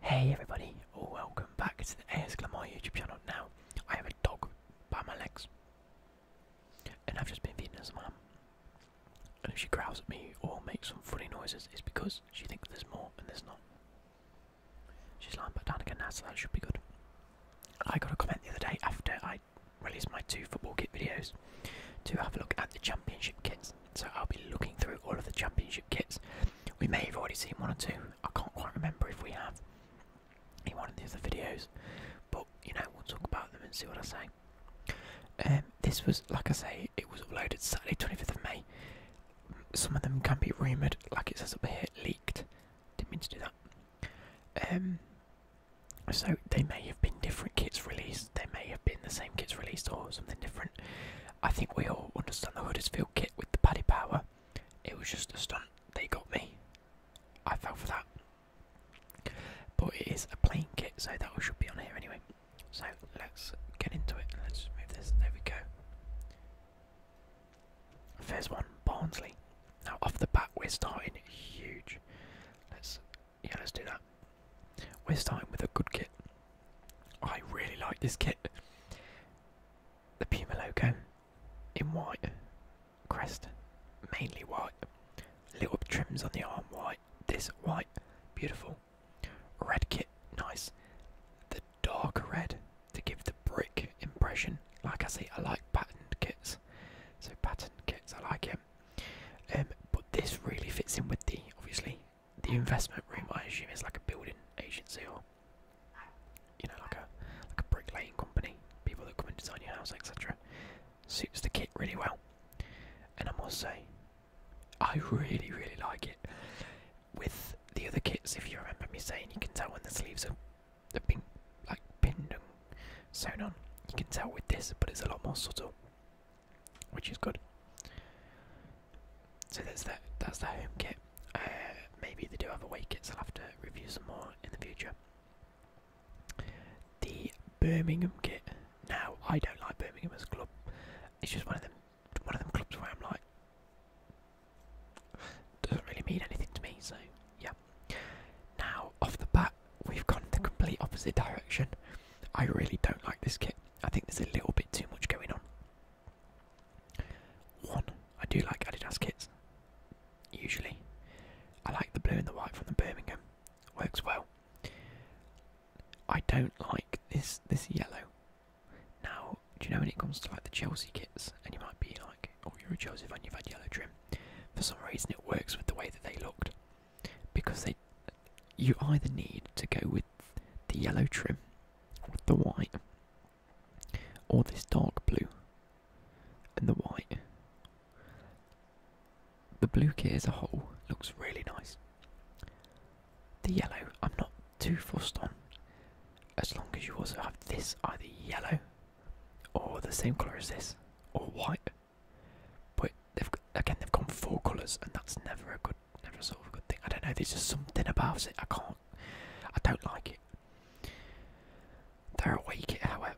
Hey everybody, welcome back to the AS Glamour YouTube channel. Now, I have a dog by my legs, and I've just been feeding her some ham. And if she growls at me or makes some funny noises, it's because she thinks there's more and there's not. She's lying back down again now, so that should be good. I got a comment the other day after I released my two football kit videos to have a look at the championship kits. So I'll be looking through all of the championship kits. We may have already seen one or two. I can't quite remember if we have in one of the other videos. But you know, we'll talk about them and see what I say. Um, this was, like I say, it was uploaded Saturday, 25th of May. Some of them can be rumoured, like it says up here, leaked. Didn't mean to do that. Um, so they may have been different kits released. They may have been the same kits released or something different. I think we all understand the Huddersfield kit with the Paddy Power. It was just a stunt. They got me. I fell for that. But it is a plain kit, so that should be on here anyway. So let's get into it. Let's move this. There we go. First one, Barnsley. Now off the bat, we're starting huge. Let's yeah, let's do that. We're starting with a good kit. I really like this kit the Puma logo in white, crest mainly white, little trims on the arm white, this white, beautiful, red kit, nice, the dark red to give the brick impression. Like I say, I like patterned kits, so patterned kits I like him. Um, but this really fits in with the obviously the investment room, I assume, is like a building agency or you know, like a like a bricklaying company, people that come and design your house, etc. Suits the kit really well, and I must say, I really, really like it. With the other kits, if you remember me saying, you can tell when the sleeves are have been like pinned and sewn on. You can tell with this, but it's a lot more subtle, which is good so that's that. That's the home kit. Uh, maybe they do have away kits. I'll have to review some more in the future. The Birmingham kit. Now I don't like Birmingham as a club. It's just one of them. One of them clubs where I'm like, doesn't really mean anything to me. So yeah. Now off the bat, we've gone the complete opposite direction. I really don't like this kit. I think there's a little bit too much going on. One, I do like Adidas kits. Usually, I like the blue and the white from the Birmingham. Works well. I don't like this this yellow. Now, do you know when it comes to like the Chelsea kits, and you might be like, "Oh, you're a Chelsea fan, you've had yellow trim." For some reason, it works with the way that they looked, because they you either need to go with the yellow trim, with the white, or this dark blue and the white. The blue kit as a whole looks really nice. The yellow, I'm not too fussed on, as long as you also have this either yellow or the same colour as this, or white. But they've, again, they've gone four colours, and that's never a good never sort a good thing. I don't know. There's just something about it. I can't. I don't like it. They're awake, eh? however.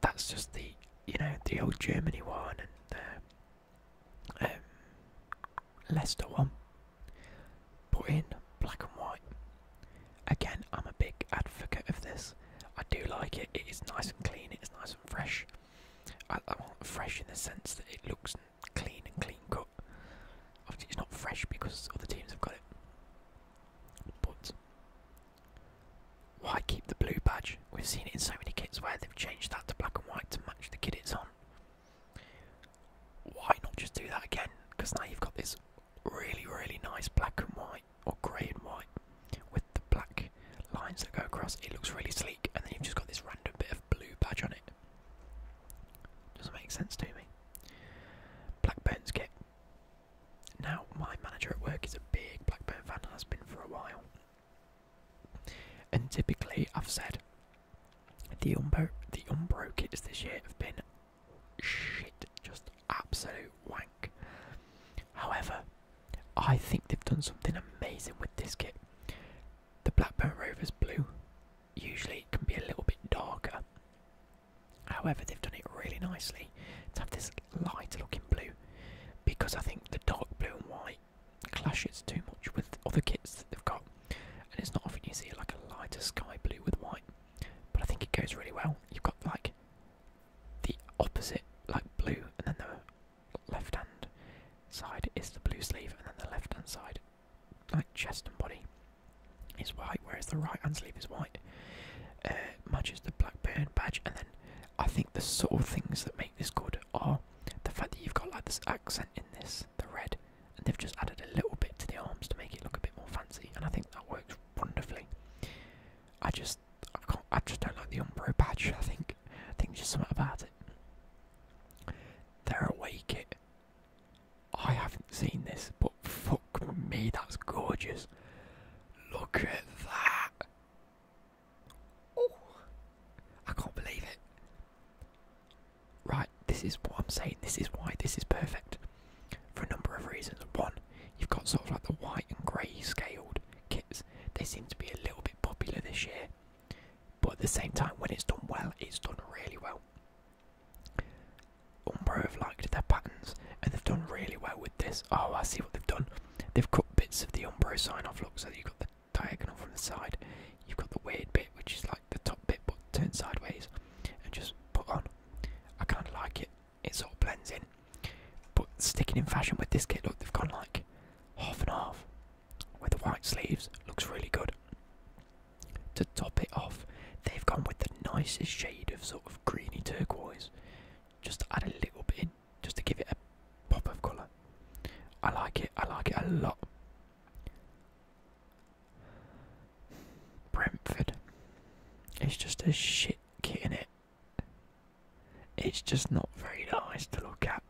That's just the you know the old Germany one and the um, Leicester one. Put in black and white. Again, I'm a big advocate of this. I do like it. It is nice and clean. It is nice and fresh. I, I want fresh in the sense that it looks clean and clean cut. Obviously, it's not fresh because other teams have got it. But why keep the blue badge? We've seen it in so many kits where they've changed that to black and white to match the kit it's on. Why not just do that again? Because now you've got this really, really nice black and white or grey and white with the black lines that go across. It looks really sleek, and then you've just got this random bit of blue badge on it. Doesn't make sense to me. Blackburn's kit. Now, my manager at work is a big Blackburn fan, has been for a while. And typically, I've said the Umbro, the Umbro kits this year have been shit, just absolute wank. However, I think they've done something amazing with this kit. The Blackburn Rovers blue usually it can be a little bit darker. However, they've done it really nicely to have this lighter looking blue because I think the dark blue and white clashes too much with other kits that they've got, and it's not often you see like a lighter sky blue with white, but I think it goes really well. You've got like the opposite, like blue, and then the left hand side is the blue sleeve, and then the left hand side like chest and body is white, whereas the right hand sleeve is white. Uh, matches the Blackburn badge, and then I think the sort of things that make this good are the fact that you've got like this accent in this, the red, and they've just added a little bit to the arms to make it look a bit more fancy, and I think that works wonderfully. I just, I can't, I just don't like the Umbro badge. I think, I think there's just something about it. Their away kit I haven't seen this, but fuck me, that's gorgeous. Look at that. Oh, I can't believe it. Right, this is what I'm saying. This is why this is perfect for a number of reasons. One, you've got sort of like the white and grey scaled kits. They seem to be a little bit popular this year, but at the same time, when it's done well, it's done really well. Umbro have liked their patterns and they've done really well with this. Oh, I see what they've done. They've cut bits of the Umbro sign off. Look, so you've got the diagonal from the side, you've got the weird bit, which is like the top bit but turned sideways, and just put on. I kind of like it. It sort of blends in. But sticking in fashion with this kit, look, they've gone like half and half with the white sleeves. Looks really good. To top it off, they've gone with the nicest shade of sort of greeny turquoise, just to add a little bit just to give it a pop of colour. I like it, I like it a lot. Brentford. It's just a shit kit in it. It's just not very nice to look at.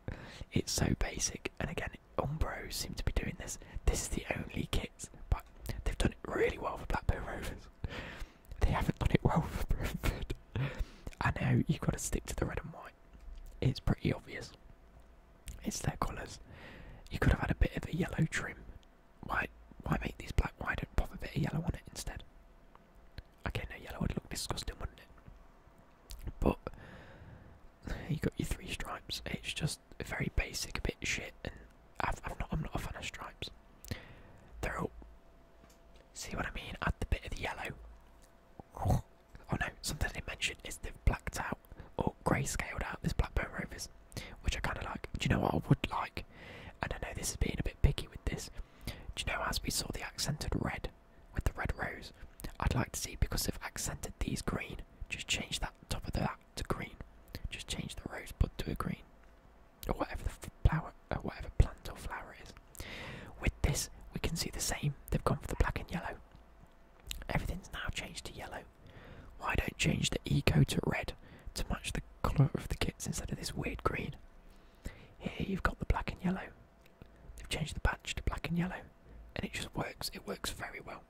It's so basic, and again, and Umbro seem to be doing this. This is the only kit, but they've done it really well for Blackburn Rovers. they haven't done it well for Brentford. I know you've got to stick to the red and white. It's pretty obvious. It's their colours. You could have had a bit of a yellow trim. Why why make these black? Why don't pop a bit of yellow on it instead? Okay, no yellow would look disgusting, wouldn't it? But you got your three stripes. It's just very basic, a bit shit, and i am not a fan of stripes. They're all. See what I mean? Add the bit of the yellow. Oh no, something they mentioned is they've blacked out or grey-scaled out this Blackburn Rovers, which I kind of like. Do you know what I would like? And I know this is being a bit picky with this. Do you know as we saw the accented red with the red rose? I'd like to see because they've accented these green, just change that top of that to green. Just change the rosebud to a green, or whatever the flower, or uh, whatever plant or flower is. With this, we can see the same. They've gone for the black and yellow. Everything's now changed to yellow. Why don't change the eco to red to match the colour of the kits instead of this weird green? Here you've got the black and yellow. They've changed the badge to black and yellow, and it just works. It works very well.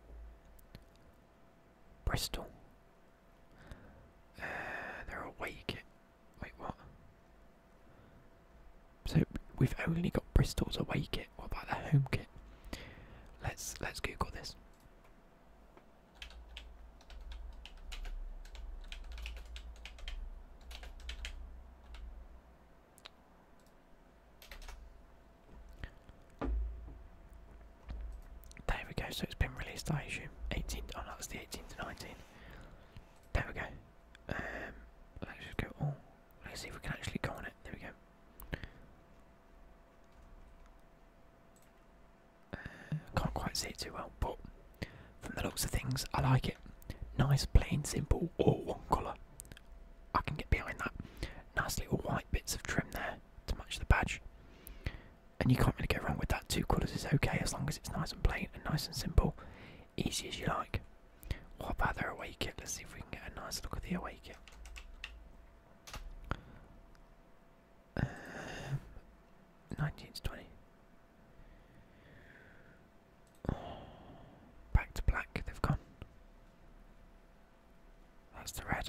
Bristol. Uh, they're awake. Wait, what? So we've only got Bristol's awake. What about the home kit? Let's let's Google this. There we go, so it's been released, I assume. 18, oh no, it's the 18 to 19. There we go. Um, let's go, oh, let's see if we can actually go on it. There we go. Uh, can't quite see it too well, but from the looks of things, I like it. Nice, plain, simple, all one colour. I can get behind that. Nice little white bits of trim there to match the badge. And you can't really get wrong with that. Two colours is okay as long as it's nice and plain and nice and simple. Easy as you like. What about the away kit? Let's see if we can get a nice look at the away kit. Um, 19 to 20. back to black, they've gone. That's the red.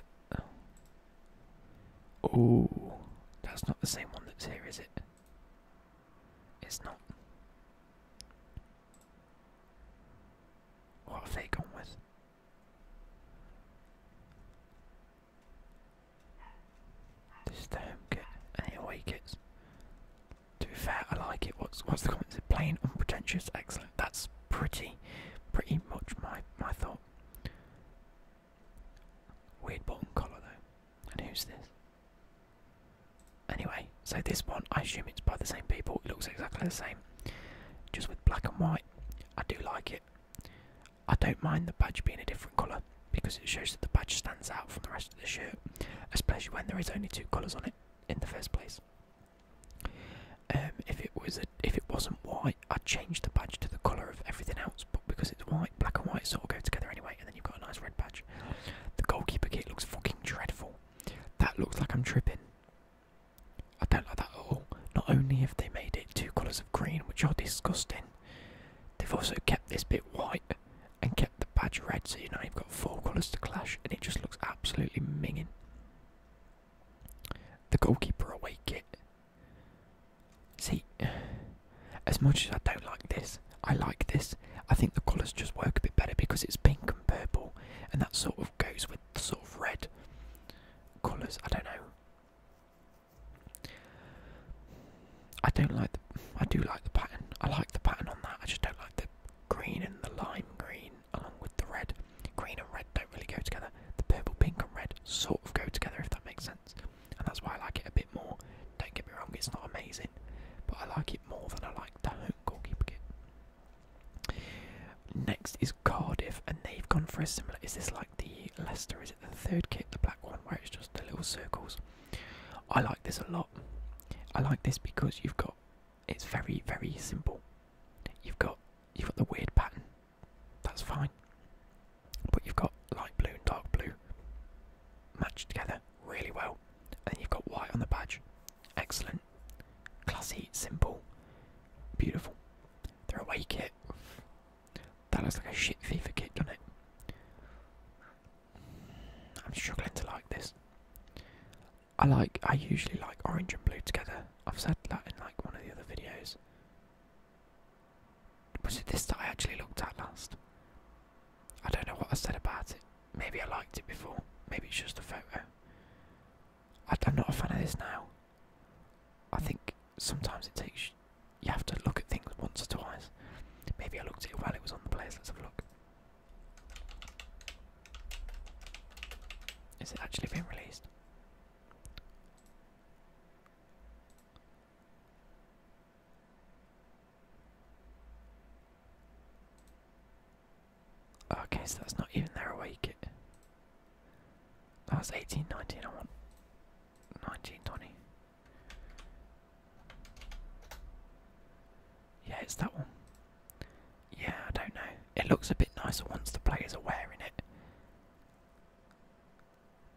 Oh, that's not the same one that's here, is it? It's not. What have they gone with? This is the home kit and the To be fair, I like it. What's what's the comment? Is it plain, unpretentious, excellent? that's pretty, pretty much my my thought. Weird button colour though. And who's this? Anyway, so this one, I assume it's by the same people. It looks exactly the same, just with black and white. I do like it. I don't mind the badge being a different colour because it shows that the badge stands out from the rest of the shirt, especially when there is only two colours on it in the first place. Um, if it was a, if it wasn't white, I'd change the badge to the colour of everything else. But because it's white, black and white sort of go together anyway, and then you've got a nice red badge. The goalkeeper kit looks fucking dreadful. That looks like I'm tripping. I don't like that at all. Not only have they made it two colours of green, which are disgusting, they've also kept this bit white and kept the badge red, so you know you've got four colours to clash, and it just looks absolutely minging. The goalkeeper away kit. See, as much as I don't like this, I like this. I think the colours just work a bit better because it's pink and purple, and that sort of goes with the sort of red colours. I don't know. I don't like the. I do like the pattern. I like the pattern on that. I just don't like the green and the lime green along with the red. Green and red don't really go together. The purple, pink, and red sort of go together, if that makes sense. And that's why I like it a bit more. Don't get me wrong, it's not amazing, but I like it more than I like the home goalkeeper kit. Next is Cardiff, and they've gone for a similar. Is this like the Leicester? Is it the third kit, the black one, where it's just the little circles? I like this a lot. I like this because you've got. It's very, very simple. You've got you've got the weird pattern. That's fine. But you've got light blue and dark blue matched together really well. And you've got white on the badge. Excellent. Classy, simple, beautiful. Their away kit. That looks like a shit FIFA kit, doesn't it? I'm struggling to like this. I like I usually like orange and blue together. I've said that in like one of the other videos. Was it this that I actually looked at last? I don't know what I said about it. Maybe I liked it before. Maybe it's just a photo. I, am not a fan of this now. I think sometimes it takes. You have to look at things once or twice. Maybe I looked at it while it was on the place. Let's have a look. Is it actually been released? Okay, so that's not even there. away kit. That was 18, I want 19, 20. Yeah, it's that one. Yeah, I don't know. It looks a bit nicer once the players are wearing it.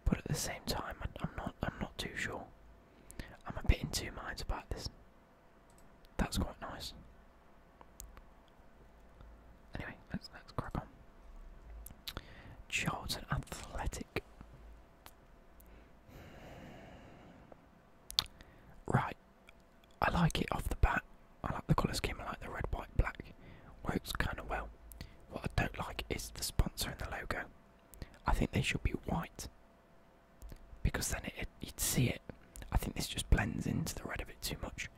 But at the same time, I'm not. I'm not too sure. I'm a bit in two minds about this. That's quite nice. Anyway, let's crack on. Charlton Athletic. Right, I like it off the bat. I like the colour scheme. I like the red, white, black. Works kind of well. What I don't like is the sponsor and the logo. I think they should be white because then it, you'd see it. I think this just blends into the red a bit too much.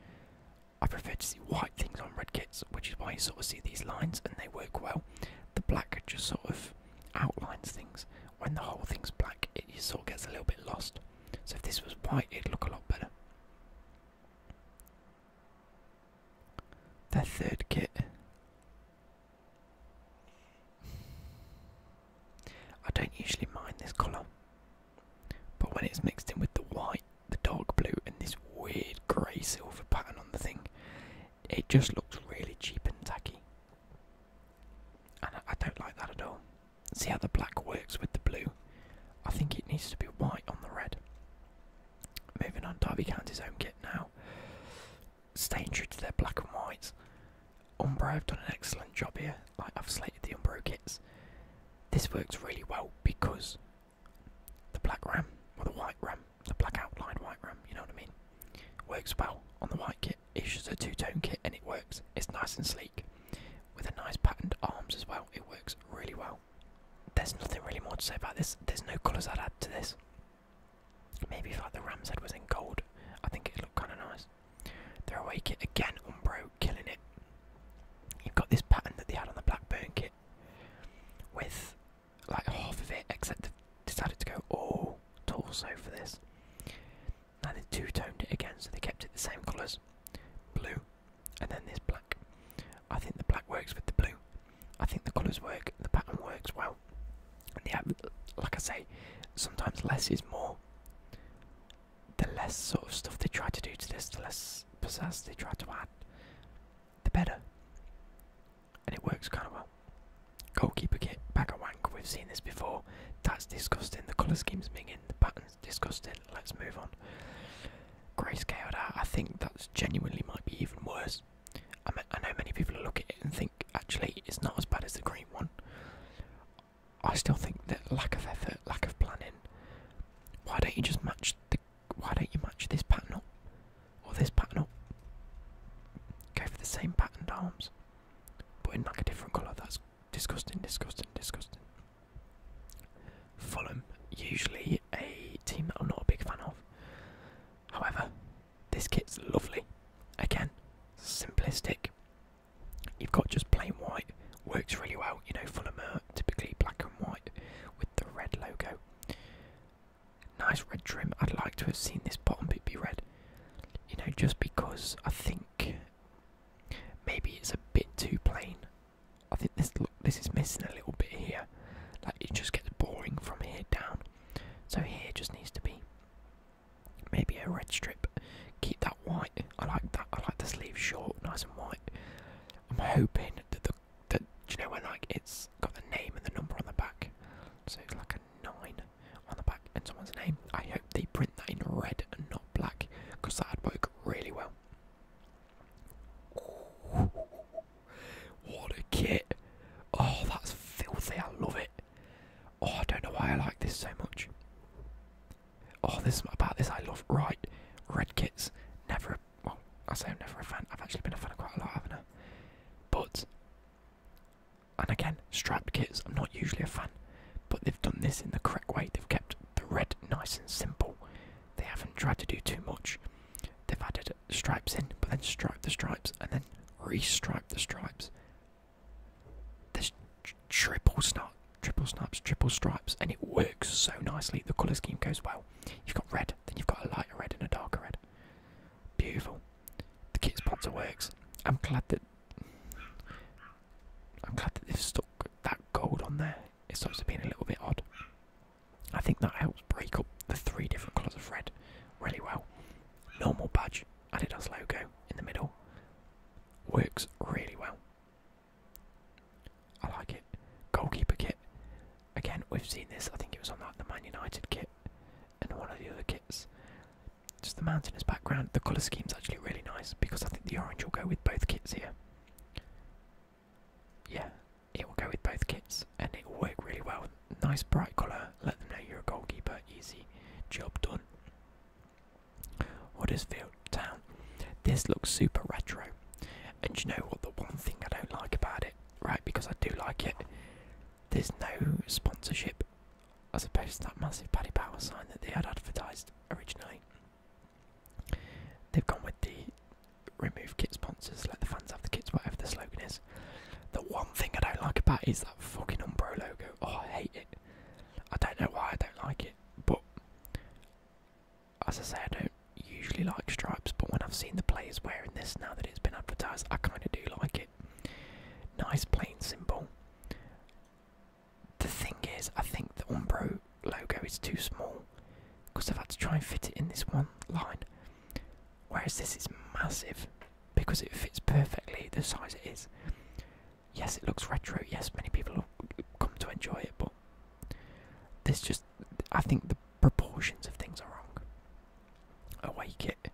I prefer to see white things on red kits, which is why you sort of see these lines and they work well. The black just sort of outlines things. When the whole thing's black, it just sort of gets a little bit lost. So if this was white, it'd look a lot better. That third kit. I don't usually mind this colour, but when it's mixed in with the white, the dark blue, and this weird grey silver pattern on the thing, it just looks really cheap and tacky. And I, I don't like that at all. See how the black works with the blue. I think it needs to be white on the red. Moving on, Derby County's home kit now. Staying true to their black and whites. Umbro have done an excellent job here. Like I've slated the Umbro kits. This works really well because the black ram or the white ram, the black outlined white ram, you know what I mean, works well on the white kit. It's just a two-tone kit and it works. It's nice and sleek with a nice patterned arms as well. It works really well. There's nothing really more to say about this. There's no colours I'd add to this. Maybe if like the ram's head was in gold, I think it'd look kind of nice. They're away kit again, Umbro killing it. You've got this pattern that they had on the Blackburn kit, with like half of it, except they decided to go all torso for this. Now they two toned it again, so they kept it the same colours blue, and then this black. I think the black works with the blue. I think the colours work, the pattern works well. And yeah, like I say, sometimes less is more. The less sort of stuff they try to do to this, the less pizzazz they try to add, the better. And it works kind of well. Goalkeeper kit, bag of wank, we've seen this before. That's disgusting. The colour scheme's minging, the pattern's disgusting. Let's move on grayscaled I think that genuinely might be even worse. I, I know many people look at it and think actually it's not as bad as the green one. I still think that lack of effort, lack of planning. Why don't you just match the? Why don't you match this pattern up or this pattern up? Go for the same patterned arms, but in like a different colour. That's disgusting, disgusting, disgusting. Fulham, usually a team that I'm not a big fan of. However, this kit's lovely. Again, simplistic. You've got just plain white, works really well. You know, Fulham are typically black and white with the red logo. Nice red trim. I'd like to have seen this bottom bit be red. You know, just because I think maybe it's a bit too plain I think this look, this is missing a little bit here. Like it just gets boring from here down. So here just needs to be maybe a red strip. Keep that white. I like that. I like the sleeve short, nice and white. I'm hoping that the that you know when like it's got the name and the number on the back. So it's like a nine on the back and someone's name. I hope they print that in red and not black because that'd work really well. What a kit! Oh, that's filthy. I love it. Oh, I don't know why I like this so much. Oh, this about this I love. Right, red kits. Never. Well, I say I'm never a fan. I've actually been a fan of quite a lot, haven't I? But and again, strapped kits. I'm not usually a fan, but they've done this in the correct way. They've kept the red nice and simple they haven't tried to do too much. They've added stripes in, but then stripe the stripes and then restripe the stripes. There's triple snap, triple snaps, triple stripes, and it works so nicely. The colour scheme goes well. You've got red, then you've got a lighter red and a darker red. Beautiful. The kit sponsor works. I'm glad that I'm glad that they've stuck that gold on there it starts to being a little bit odd. I think that helps break up the three different colours of red really well. Normal badge, Adidas logo in the middle, works really well. I like it. Goalkeeper kit, again we've seen this. I think it was on that the Man United kit and one of the other kits. Just the mountainous background. The colour scheme's actually really nice because I think the orange will go with both kits here yeah, it will go with both kits and it will work really well. Nice bright colour, let them know you're a goalkeeper, easy, job done. Huddersfield Town. This looks super retro. And you know what, the one thing I don't like about it, right, because I do like it, there's no sponsorship as opposed to that massive Paddy Power sign that they had advertised originally. They've gone with the remove kit sponsors, let the fans have the kits, whatever the slogan is. The one thing I don't like about it is that fucking Umbro logo. Oh, I hate it. I don't know why I don't like it, but as I say, I don't usually like stripes, but when I've seen the players wearing this now that it's been advertised, I kind of do like it. Nice plain simple. The thing is, I think the Umbro logo is too small because I've had to try and fit it in this one line. Whereas this is massive because it fits perfectly the size it is. Yes, it looks retro. Yes, many people come to enjoy it, but this just, I think the proportions of things are wrong. Awake it.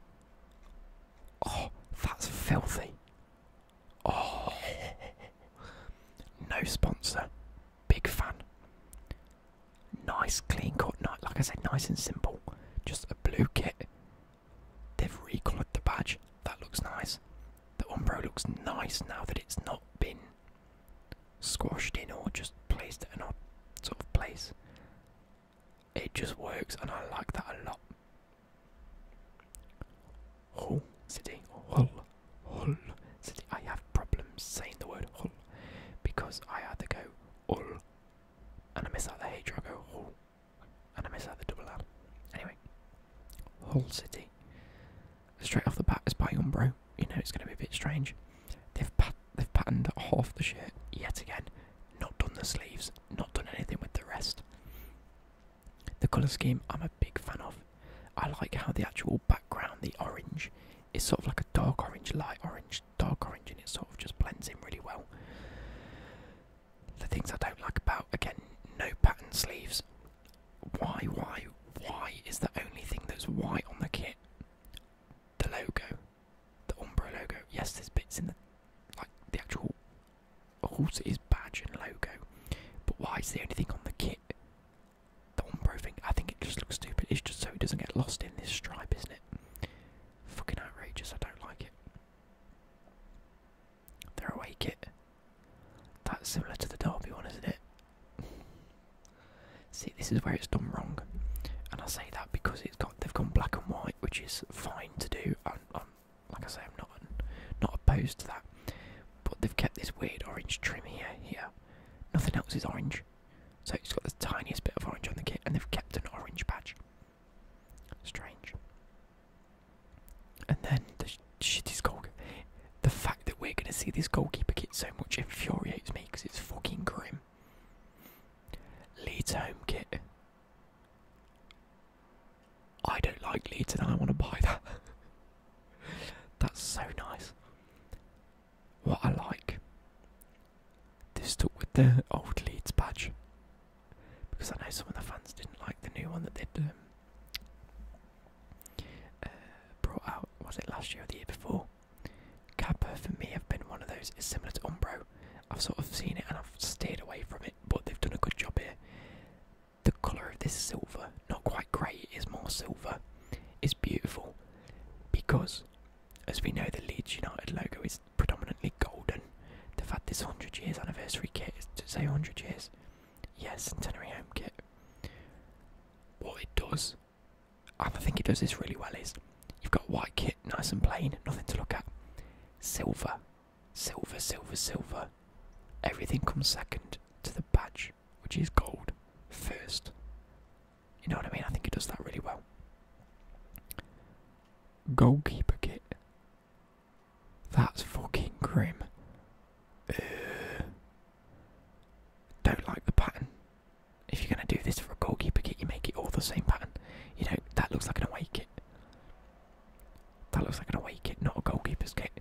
Oh, that's filthy. Oh, no sponsor. Big fan. Nice, clean cut. Like I said, nice and simple. Just a blue kit. They've recoloured the badge. That looks nice. The Umbro looks nice now that it's not been squashed in or just placed in an odd sort of place. It just works, and I like that a lot. Hull oh, City, Hull hull. City. I have problems saying the word hull because I had to go hull and I miss out the H or I go hull and I miss out the double L. Anyway, Hull City. Straight off the bat, it's by Umbro. You know it's going to be a bit strange. They've pat they've patterned half the shirt yet again. Not done the sleeves. Not done anything with the rest. The colour scheme I'm a big fan of. I like how the actual background, the orange, is sort of like a dark orange, light orange, dark orange, and it sort of just blends in really well. The things I don't like about, again, no pattern sleeves. Why, why, why is the only thing that's white on the kit the logo? The Umbro logo. Yes, there's bits in the, like, the actual horse is badge and logo, but why is the only thing on the kit the Umbro thing, I think it just looks stupid. It's just so it doesn't get lost in this stripe, isn't it? Fucking outrageous, I don't like it. They're away kit. That's similar to the Derby one, isn't it? See, this is where it's done wrong, and I say that because it's got they've gone black and white, which is fine to do. i I'm like I say, I'm not not opposed to that but they've kept this weird orange trim here. Here, nothing else is orange, so it's got the tiniest bit of orange on the kit, and they've kept an orange patch. Strange. And then the sh shittiest goalkeeper. The fact that we're going to see this goalkeeper kit so much infuriates me because it's fucking grim. Leeds home kit. I don't like Leeds and I don't want to buy that. That's so nice. What I like, this stuck with the old Leeds badge because I know some of the fans didn't like the new one that they'd um, uh, brought out. Was it last year or the year before? Kappa for me have been one of those. It's similar to Umbro. I've sort of seen it and I've steered away from it, but they've done a good job here. The colour of this silver not quite grey, it is more silver. It's beautiful because, as we know, the Leeds United logo is predominantly golden. They've had this 100 years anniversary kit, to say 100 years, yes, centenary home kit. What it does, and I think it does this really well, is you've got white kit, nice and plain, nothing to look at. Silver, silver, silver, silver. Everything comes second to the badge which is gold, first. You know what I mean? I think it does that really well. Goalkeeper kit. That's fucking grim. Uh, don't like the pattern. If you're gonna do this for a goalkeeper kit, you make it all the same pattern. You know that looks like an away kit. That looks like an away kit, not a goalkeeper's kit.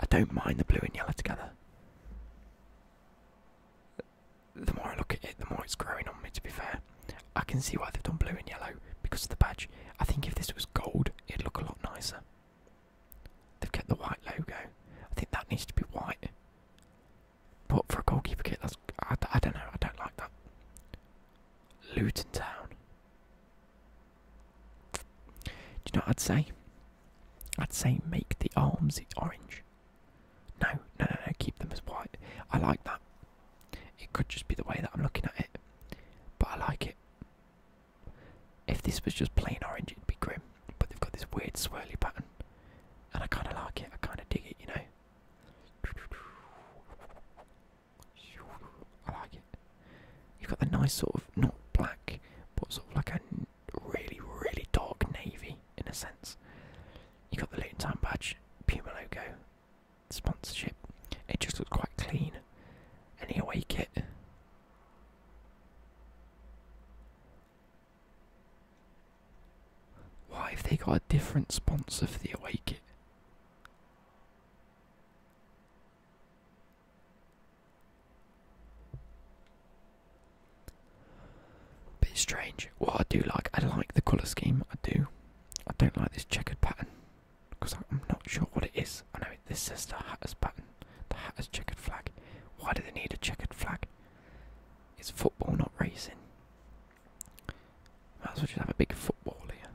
I don't mind the blue and yellow together. The more I look at it, the more it's growing on me, to be fair. I can see why they've done blue and yellow because of the badge. I think if this was gold, it'd look a lot nicer. They've kept the white logo. I think that needs to be white. But for a goalkeeper kit, that's, I, I don't know, I don't like that. Luton Town. Do you know what I'd say? I'd say make the arms orange. No, no, no, no, keep them as white. I like that. It could just be the way that I'm looking at it, but I like it. If this was just plain orange, it'd be grim, but they've got this weird swirly pattern, and I kind of like it. I kind of dig it, you know. I like it. You've got the nice sort of not black, but sort of like a really, really dark navy in a sense. You got the Luton Town badge, Puma logo, sponsorship. It just looks quite clean. Any awake kit. Why have they got a different sponsor for the awake kit? Bit strange. What I do like, I like the colour scheme. I do. I don't like this checkered pattern because I'm not sure what it is. I know this is the Hatters pattern, the Hatters checkered flag. Why do they need a checkered flag? It's football, not racing. Might as well just have a big football here.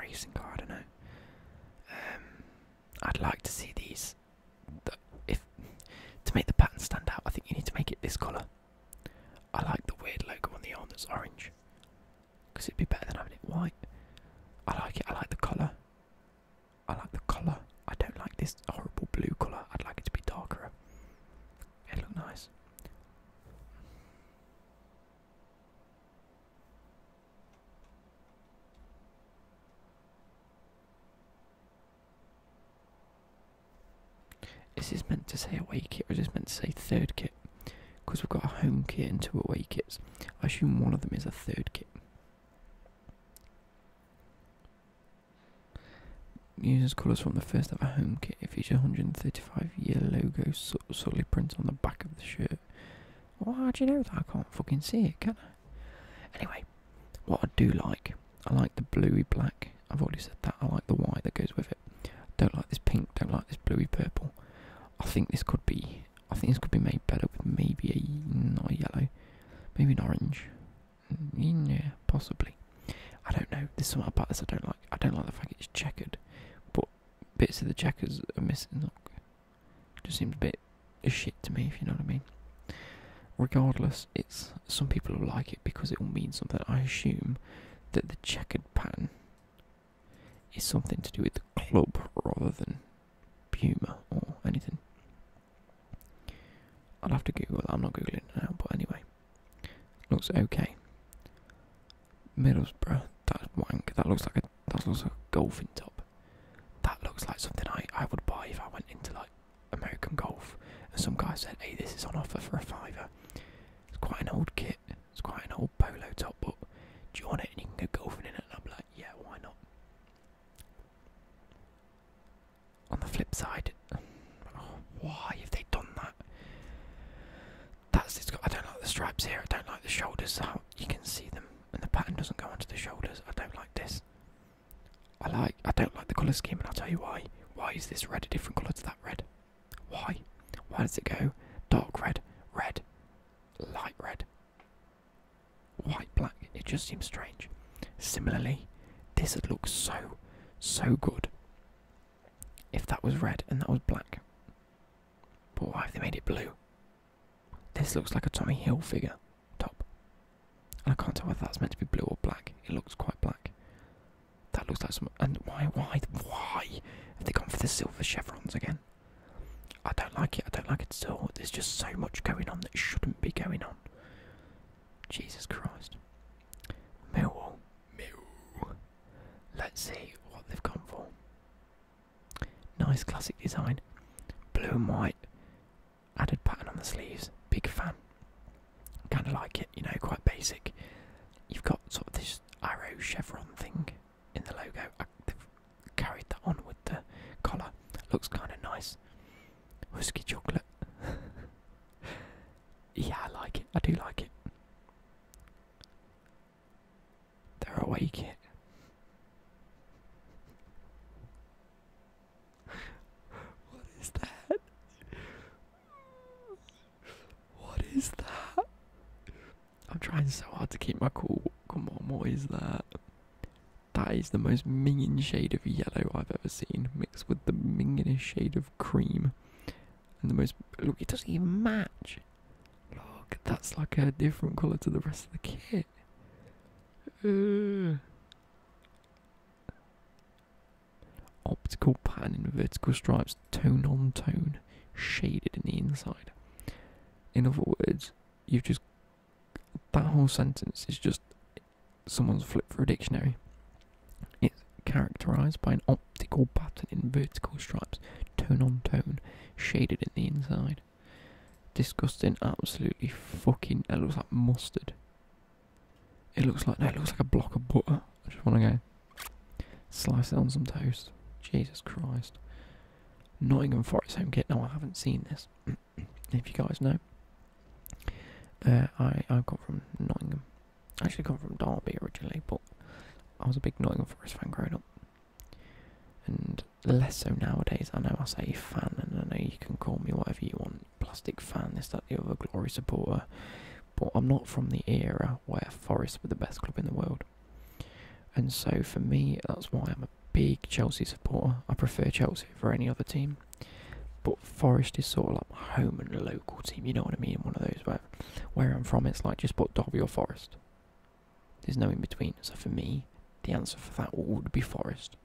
racing car, I don't know. Um, I'd like to see these if to make the pattern stand out, I think you need to make it this colour. I like the weird logo on the arm that's orange, because it'd be better than having it white. I like it. I like the colour. I like the colour. I don't like this horrible blue colour. I'd like it to be darker. It'd look nice. Is this meant to say away kit or is this meant to say third kit? Because we've got a home kit and two away kits. I assume one of them is a third kit. call us from the first ever home kit. It features 135 year logo solid print on the back of the shirt. how do you know that? I can't fucking see it, can I? Anyway, what I do like, I like the bluey black. I've already said that. I like the white that goes with it. Don't like this pink. Don't like this bluey purple. I think this could be. I think this could be made better with maybe a not yellow, maybe an orange. Mm, yeah, possibly. I don't know. There's something about this I don't like. I don't like the fact it's checkered, but bits of the checkers are missing. Just seems a bit a shit to me, if you know what I mean. Regardless, it's some people will like it because it will mean something. I assume that the checkered pattern is something to do with the club rather than Puma or anything. I'll have to Google that. I'm not googling now, but anyway, looks okay. Middlesbrough, that's wank. That looks like a that looks like a golfing top. That looks like something I, I would buy if I went into like American Golf and some guy said, hey, this is on offer for a fiver. It's quite an old kit, it's quite an old polo top, but do you want it and you can go golfing in it? And I'm like, yeah, why not? On the flip side, why have they done that? That's it's got. I don't like the stripes here. I don't like the shoulders. you can see them, and the pattern doesn't go onto the shoulders. I don't like this. I like. I don't like the colour scheme, and I'll tell you why. Why is this red a different colour to that red? Why? Why does it go dark red, red, light red, white, black? It just seems strange. Similarly, this would look so, so good if that was red and that was black. But why have they made it blue? This looks like a Tommy Hill figure top. And I can't tell whether that's meant to be blue or black. It looks quite black. That looks like some. And why, why, why have they gone for the silver chevrons again? I don't like it. I don't like it at all. There's just so much going on that shouldn't be going on. Jesus Christ. Millwall. Mill. Let's see what they've gone for. Nice classic design. Blue and white. Added pattern on the sleeves, big fan. Kind of like it, you know, quite basic. You've got sort of this arrow chevron thing in the logo. I, they've carried that on with the collar. Looks kind of nice. Whisky chocolate. yeah, I like it. I do like it. They're awake yet. What is that? What is that? I'm trying so hard to keep my cool. Come on, what is that? That is the most minging shade of yellow I've ever seen, mixed with the mingingest shade of cream. And the most. Look, it doesn't even match. Look, that's like a different colour to the rest of the kit. Mm. optical pattern in vertical stripes, tone on tone, shaded in the inside. In other words, you've just that whole sentence is just someone's flip through a dictionary. It's characterized by an optical pattern in vertical stripes, tone on tone, shaded in the inside. Disgusting, absolutely fucking. It looks like mustard. It looks like no, it looks like a block of butter. I just want to go slice it on some toast. Jesus Christ. Nottingham Forest home kit. No, I haven't seen this. if you guys know, uh, I I come from Nottingham. actually come from Derby originally, but I was a big Nottingham Forest fan growing up, and less so nowadays. I know I say fan, and I know you can call me whatever you want, plastic fan, this, that, the other, glory supporter. But I'm not from the era where Forest were the best club in the world. And so for me, that's why I'm a big Chelsea supporter. I prefer Chelsea for any other team. But Forest is sort of like my home and local team, you know what I mean? One of those where, where I'm from, it's like just put Derby or Forest. There's no in between. So for me, the answer for that would be Forest.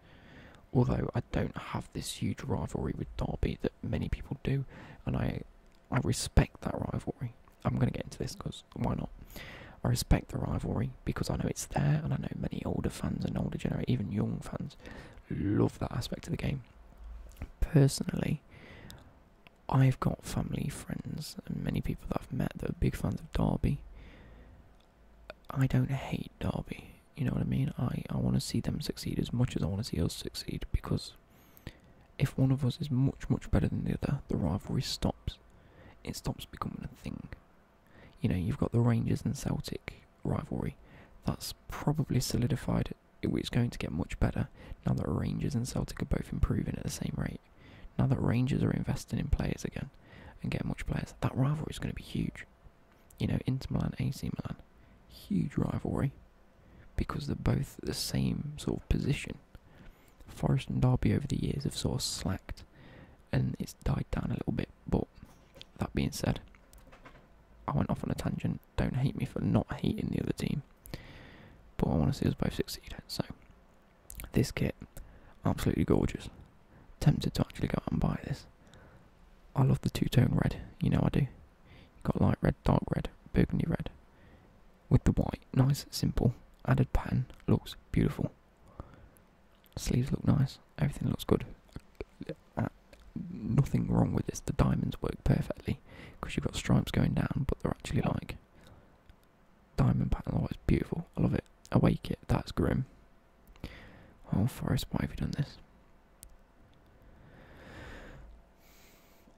Although I don't have this huge rivalry with Derby that many people do, and I I respect that rivalry. I'm going to get into this because why not? I respect the rivalry because I know it's there, and I know many older fans and older generation, even young fans, love that aspect of the game. Personally, I've got family, friends, and many people that I've met that are big fans of Derby. I don't hate Derby. You know what I mean? I, I want to see them succeed as much as I want to see us succeed because if one of us is much, much better than the other, the rivalry stops. It stops becoming a thing. You know, you've got the Rangers and Celtic rivalry. That's probably solidified. It's going to get much better now that Rangers and Celtic are both improving at the same rate. Now that Rangers are investing in players again, and get much players. That rivalry is going to be huge. You know, Inter Milan, AC Milan, huge rivalry because they're both the same sort of position. Forest and Derby over the years have sort of slacked and it's died down a little bit. But that being said, I went off on a tangent. Don't hate me for not hating the other team. But I want to see us both succeed. So, this kit, absolutely gorgeous tempted to actually go out and buy this. I love the two-tone red, you know I do. got light red, dark red, burgundy red. With the white, nice, simple, added pattern, looks beautiful. Sleeves look nice, everything looks good. Uh, nothing wrong with this, the diamonds work perfectly, because you've got stripes going down, but they're actually like diamond pattern, oh it's beautiful, I love it. Awake it, that's grim. Oh, Forest! why have you done this?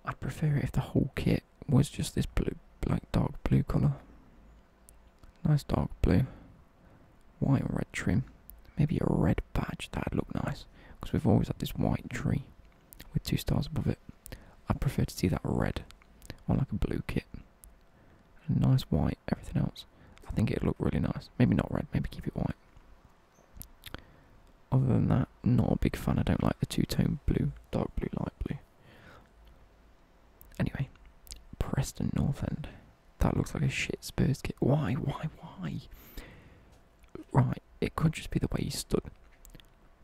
I'd prefer it if the whole kit was just this blue, like dark blue colour. Nice dark blue. White or red trim. Maybe a red badge, that'd look nice. Because we've always had this white tree with two stars above it. I'd prefer to see that red on like a blue kit nice white, everything else. I think it'd look really nice. Maybe not red, maybe keep it white. Other than that, not a big fan. I don't like the two-tone blue, dark blue, light blue. Anyway, Preston North End. That looks like a shit Spurs kit. Why, why, why? Right, it could just be the way he stood.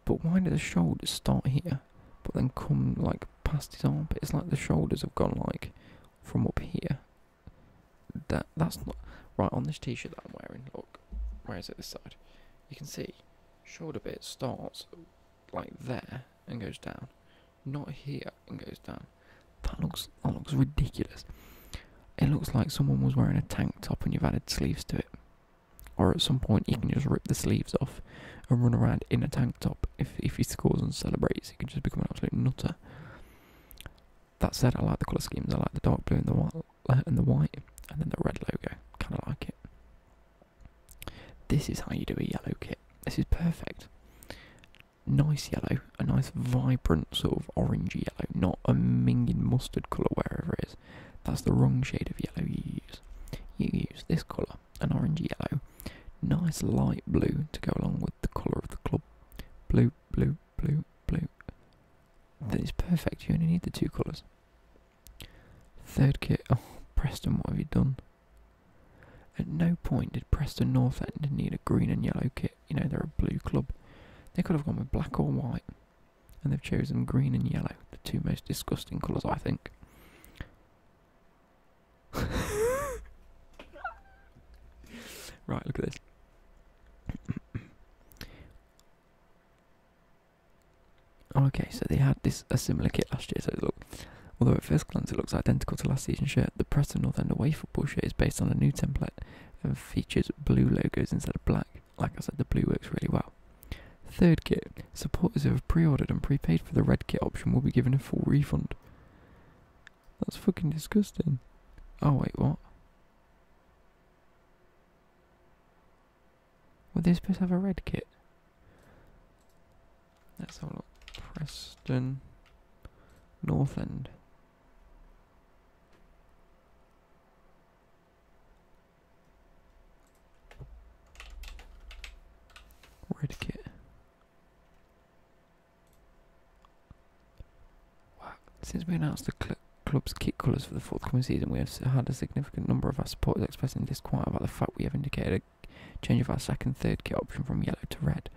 But why did the shoulders start here, but then come like past his arm? But It's like the shoulders have gone like from up here. That that's not right on this t-shirt that I'm wearing. Look, where is it? This side. You can see shoulder bit starts like there and goes down, not here and goes down. That looks that looks ridiculous. It looks like someone was wearing a tank top and you've added sleeves to it. Or at some point you can just rip the sleeves off and run around in a tank top if if he scores and celebrates, he could just become an absolute nutter. That said, I like the colour schemes. I like the dark blue and the white, and the white, and then the red logo. Kind of like it. This is how you do a yellow kit. This is perfect. Nice yellow, a nice vibrant sort of orange yellow, not a minging mustard colour wherever it is. That's the wrong shade of yellow you use. You use this colour an orange yellow. Nice light blue to go along with the colour of the club. Blue, blue, blue, blue. That is perfect, you only need the two colours. Third kit, oh, Preston, what have you done? At no point did Preston North End need a green and yellow kit. You know, they're a blue club. They could have gone with black or white, and they've chosen green and yellow, the two most disgusting colours, I think. right, look at this. okay, so they had this a similar kit last year. So look, although at first glance it looks identical to last season's shirt, the Preston North End away football shirt is based on a new template and features blue logos instead of black. Like I said, the blue works really well. Third kit, supporters who have pre-ordered and prepaid for the red kit option will be given a full refund. That's fucking disgusting. Oh, wait, what? Were they supposed to have a red kit? Let's have a look. Preston, North End. Red kit. Since we announced the club's kit colours for the forthcoming season, we have had a significant number of our supporters expressing disquiet about the fact we have indicated a change of our second and third kit option from yellow to red.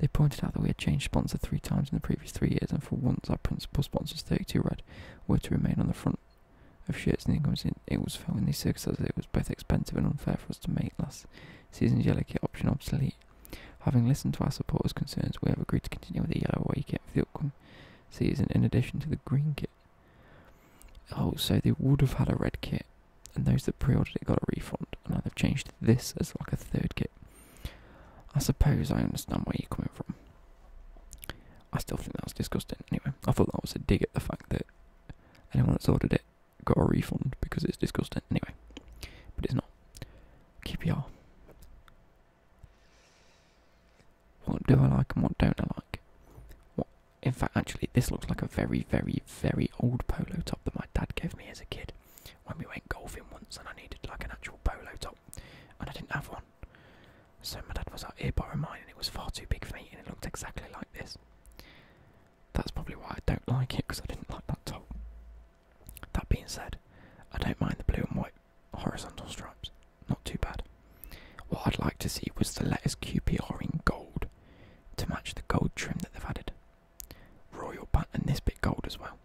They pointed out that we had changed sponsor three times in the previous three years, and for once our principal sponsors, 32 Red, were to remain on the front of shirts and incomes. It was felt in these circumstances it was both expensive and unfair for us to make this. Season's yellow kit option obsolete. Having listened to our supporters' concerns, we have agreed to continue with the yellow away kit for the upcoming season in addition to the green kit. Oh, so they would have had a red kit, and those that pre ordered it got a refund, and now they've changed this as like a third kit. I suppose I understand where you're coming from. I still think that was disgusting. Anyway, I thought that was a dig at the fact that anyone that's ordered it got a refund because it's disgusting. Anyway, but it's not. QPR. What do I like and what don't I like? What? In fact, actually, this looks like a very, very, very old polo top that my dad gave me as a kid when we went golfing once, and I needed like an actual polo top, and I didn't have one. So my dad was like, "Here, borrow mine," and it was far too big for me, and it looked exactly like this. That's probably why I don't like it because I didn't like that top. That being said, I don't mind the blue and white horizontal stripes. Not too bad. What I'd like to see was the letters QPR in gold to match the gold trim that they've added. Royal band and this bit gold as well.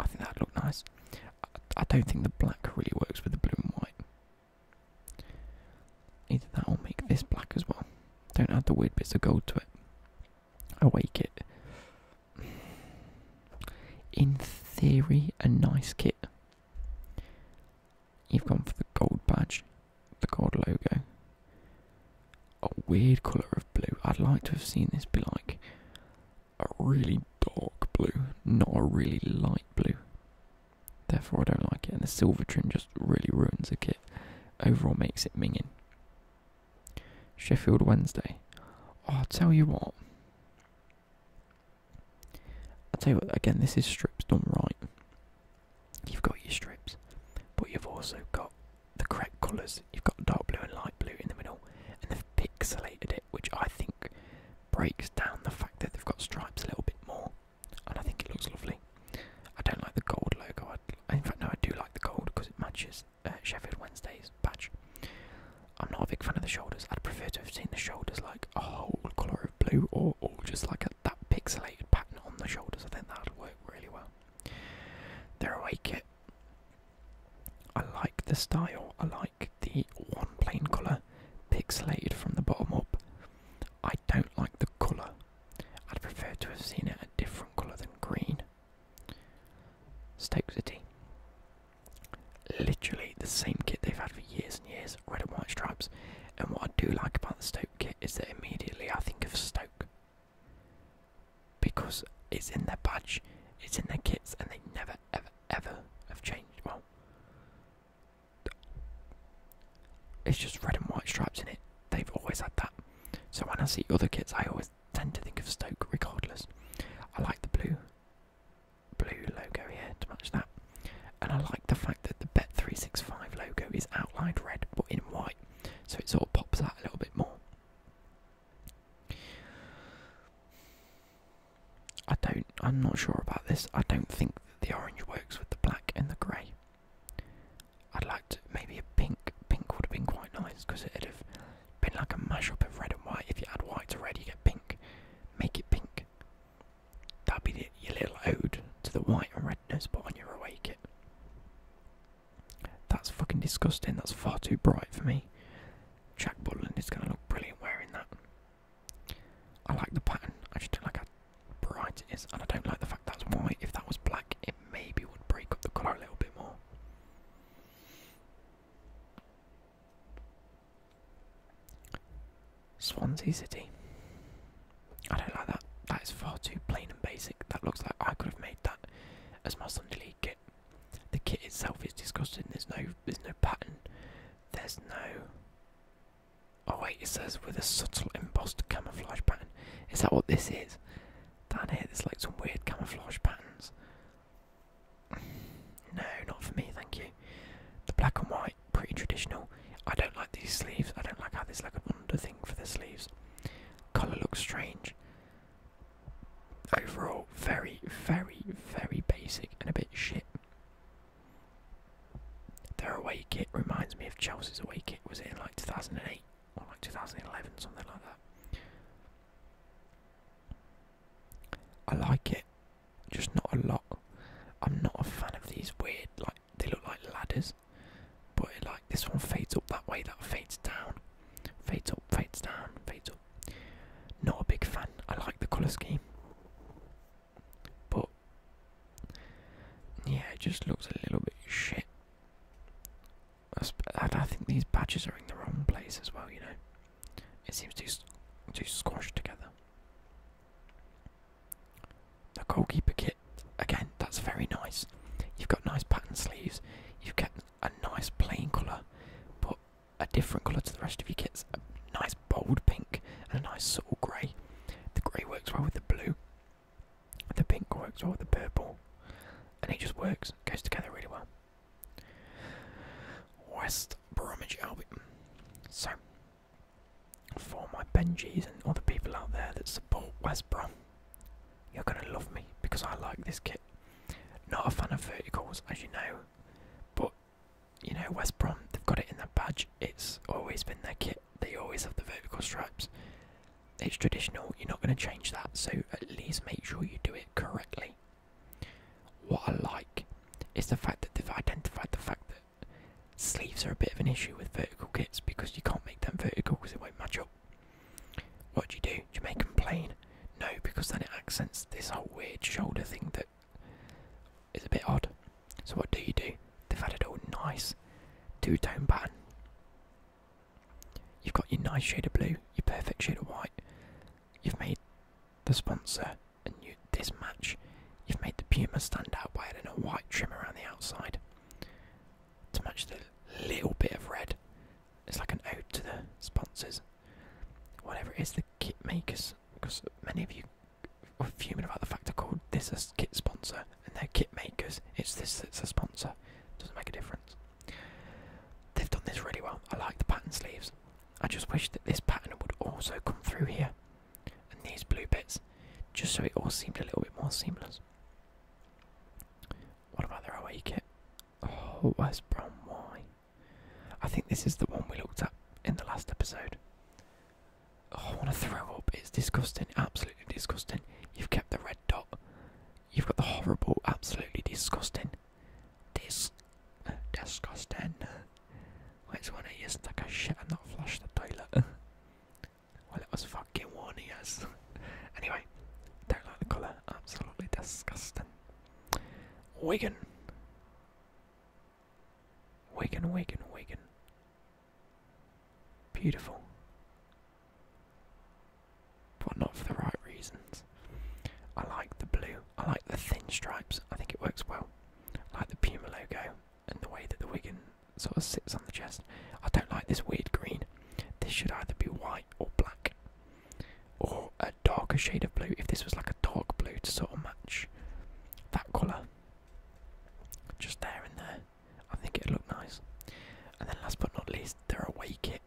I think that'd look nice. I don't think the black really works with the blue and white. Either that or make this black as well. Don't add the weird bits of gold to it awake it. In theory, a nice kit. You've gone for the gold badge, the gold logo. A weird colour of blue. I'd like to have seen this be like a really dark blue, not a really light blue. Therefore, I don't like it. And the silver trim just really ruins the kit. Overall, makes it minging. Sheffield Wednesday. Oh, I'll tell you what. I'll tell you what, again, this is strips done right. You've got your strips, but you've also got the correct colours. You've got dark blue and light blue in the middle, and they've pixelated it, which I think breaks down the fact that they've got stripes a little bit more. And I think it looks lovely. I don't like the gold logo, in fact, no, I do like the gold because it matches uh, Sheffield Wednesday's badge. I'm not a big fan of the shoulders. I'd prefer to have seen the shoulders like a whole colour of blue or all just like that pixelated pattern on the shoulders. I think that would work really well. Their away kit. I like the style. I like the one plain colour, pixelated from the bottom up. I don't like the colour I'd prefer to have seen it a different colour than green. Stoke City. Literally the same kit they've had for years and years, red and white stripes. And what I do like about the Stoke kit is that immediately I think of Stoke. Because it's in their badge, it's in their kits, and they never, ever, ever have changed. Well, it's just red and white stripes in it. They've always had that. So when I see other kits, I always tend to think of Stoke regardless. I like the blue blue logo here to match that. And I like the fact that the Bet365 logo is outlined red but in white. So it sort of pops out a little bit more. I don't I'm not sure about this. I don't think the orange works with the black and the grey. I'd like to, maybe a pink. Pink would have been quite nice because it'd have been like a mashup of red and white. If you add white to red, you get pink. Make it pink. That'd be your little ode to the white and redness. nose spot on your away kit. That's fucking disgusting. That's far too bright for me. Jack Butland is going to look brilliant wearing that. I like the pattern. I just don't like how bright it is, and I don't like the fact that's white. If that was black, it maybe would break up the colour a little bit more. Swansea City. I don't like that. That is far too plain and basic. That looks like I could have made that as my Sunday League kit. The kit itself is disgusting. There's no, there's no pattern. There's no. Oh wait, it says with a subtle embossed camouflage pattern. Is that what this is? Down here, there's like some weird camouflage patterns. No, not for me, thank you. The black and white, pretty traditional. I don't like these sleeves. I don't like how there's like an under thing for the sleeves. Colour looks strange. Overall, very, very, very basic and a bit shit. Their away kit reminds me of Chelsea's away kit. Was it in like 2008? like 2011, something like that. I like it, just not a lot. I'm not a fan of these weird, like they look like ladders, but like this one fades up that way, that fades down, fades up, fades down, fades up. Not a big fan. I like the colour scheme, but yeah, it just looks a little bit shit. I think these badges are in the wrong place as well, you know. It seems too, too squashed together. The goalkeeper kit, again, that's very nice. You've got nice pattern sleeves, you've got a nice plain colour, but a different colour to the rest of your kits. A nice bold pink and a nice subtle grey. The grey works well with the blue. The pink works well with the purple, and it just works. goes together really well. West Bromwich Albion. So, for my Benjis and other people out there that support West Brom, you're gonna love me because I like this kit. Not a fan of verticals, as you know, but you know West Brom. They've got it in their badge. It's always been their kit. They always have the vertical stripes it's traditional, you're not going to change that, so at least make sure you do it correctly. What I like is the fact that they've identified the fact that sleeves are a bit of an issue with vertical kits because you can't make them vertical because it won't match up. What do you do? Do you make them plain? No, because then it accents this whole weird shoulder thing that is a bit odd. So what do you do? They've added a nice two-tone pattern. You've got your nice shade of blue, your perfect shade of white. You've made the sponsor and you this match. You've made the Puma stand out by adding a white trim around the outside to match the little bit of red. It's like an ode to the sponsors. Whatever it is, the kit makers, because many of you are fuming about the fact I called this a kit sponsor and they're kit makers. It's this that's a sponsor. Doesn't make a difference. They've done this really well. I like the pattern sleeves. I just wish that this pattern would also come through here, and these blue bits, just so it all seemed a little bit more seamless. What about the away kit? Oh, West Brom, why? I think this is the one we looked at in the last episode. I oh, want to throw up. It's disgusting. Absolutely disgusting. You've kept the red dot You've got the horrible, absolutely disgusting, dis, disgusting. Which one of you like a oh, shit and not flushed the toilet? well, it was fucking one years. anyway, don't like the colour. Absolutely disgusting. Wigan. Wigan, Wigan, Wigan. Beautiful but not for the right reasons. I like the blue, I like the thin stripes, I think it works well. like the Puma logo and the way that the Wigan sort of sits on the chest. I don't like this weird green. This should either be white or black, or a darker shade of blue. If this was like a dark blue to sort of match that colour, just there and there. I think it would look nice. And then last but not least, their away kit.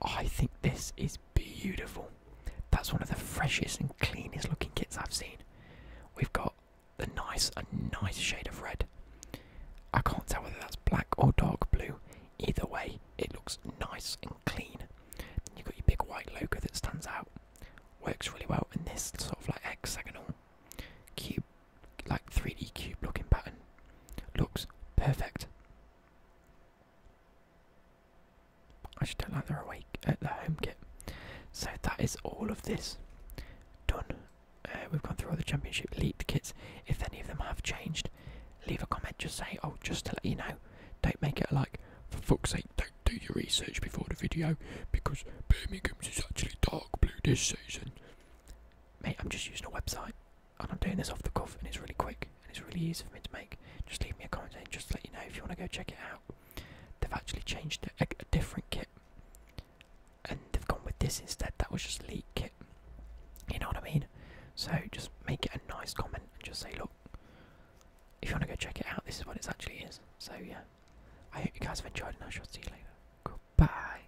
I think this is beautiful. That's one of the freshest and cleanest looking kits I've seen. We've got the nice, a nice shade of red. I can't tell whether that's black or dark blue. Either way, it looks nice and clean. you've got your big white logo that stands out. Works really well in this sort of like hexagonal cube like 3D cube looking pattern. Looks perfect. I just don't like are awake at uh, the home kit. So that is all of this done. Uh, we've gone through all the championship elite kits. If any of them have changed, leave a comment. Just say, oh, just to let you know. Don't make it like, for fuck's sake, don't do your research before the video because Birmingham's is actually dark blue this season. Mate, I'm just using a website and I'm doing this off the cuff, and it's really quick and it's really easy for me to make. Just leave me a comment saying, just to let you know if you want to go check it out. They've actually changed a, different kit, and they've gone with this instead. That was just leak kit. You know what I mean? So just make it a nice comment and just say, look, if you want to go check it out, this is what it actually is. So yeah, I hope you guys have enjoyed, and I shall see you later. Goodbye.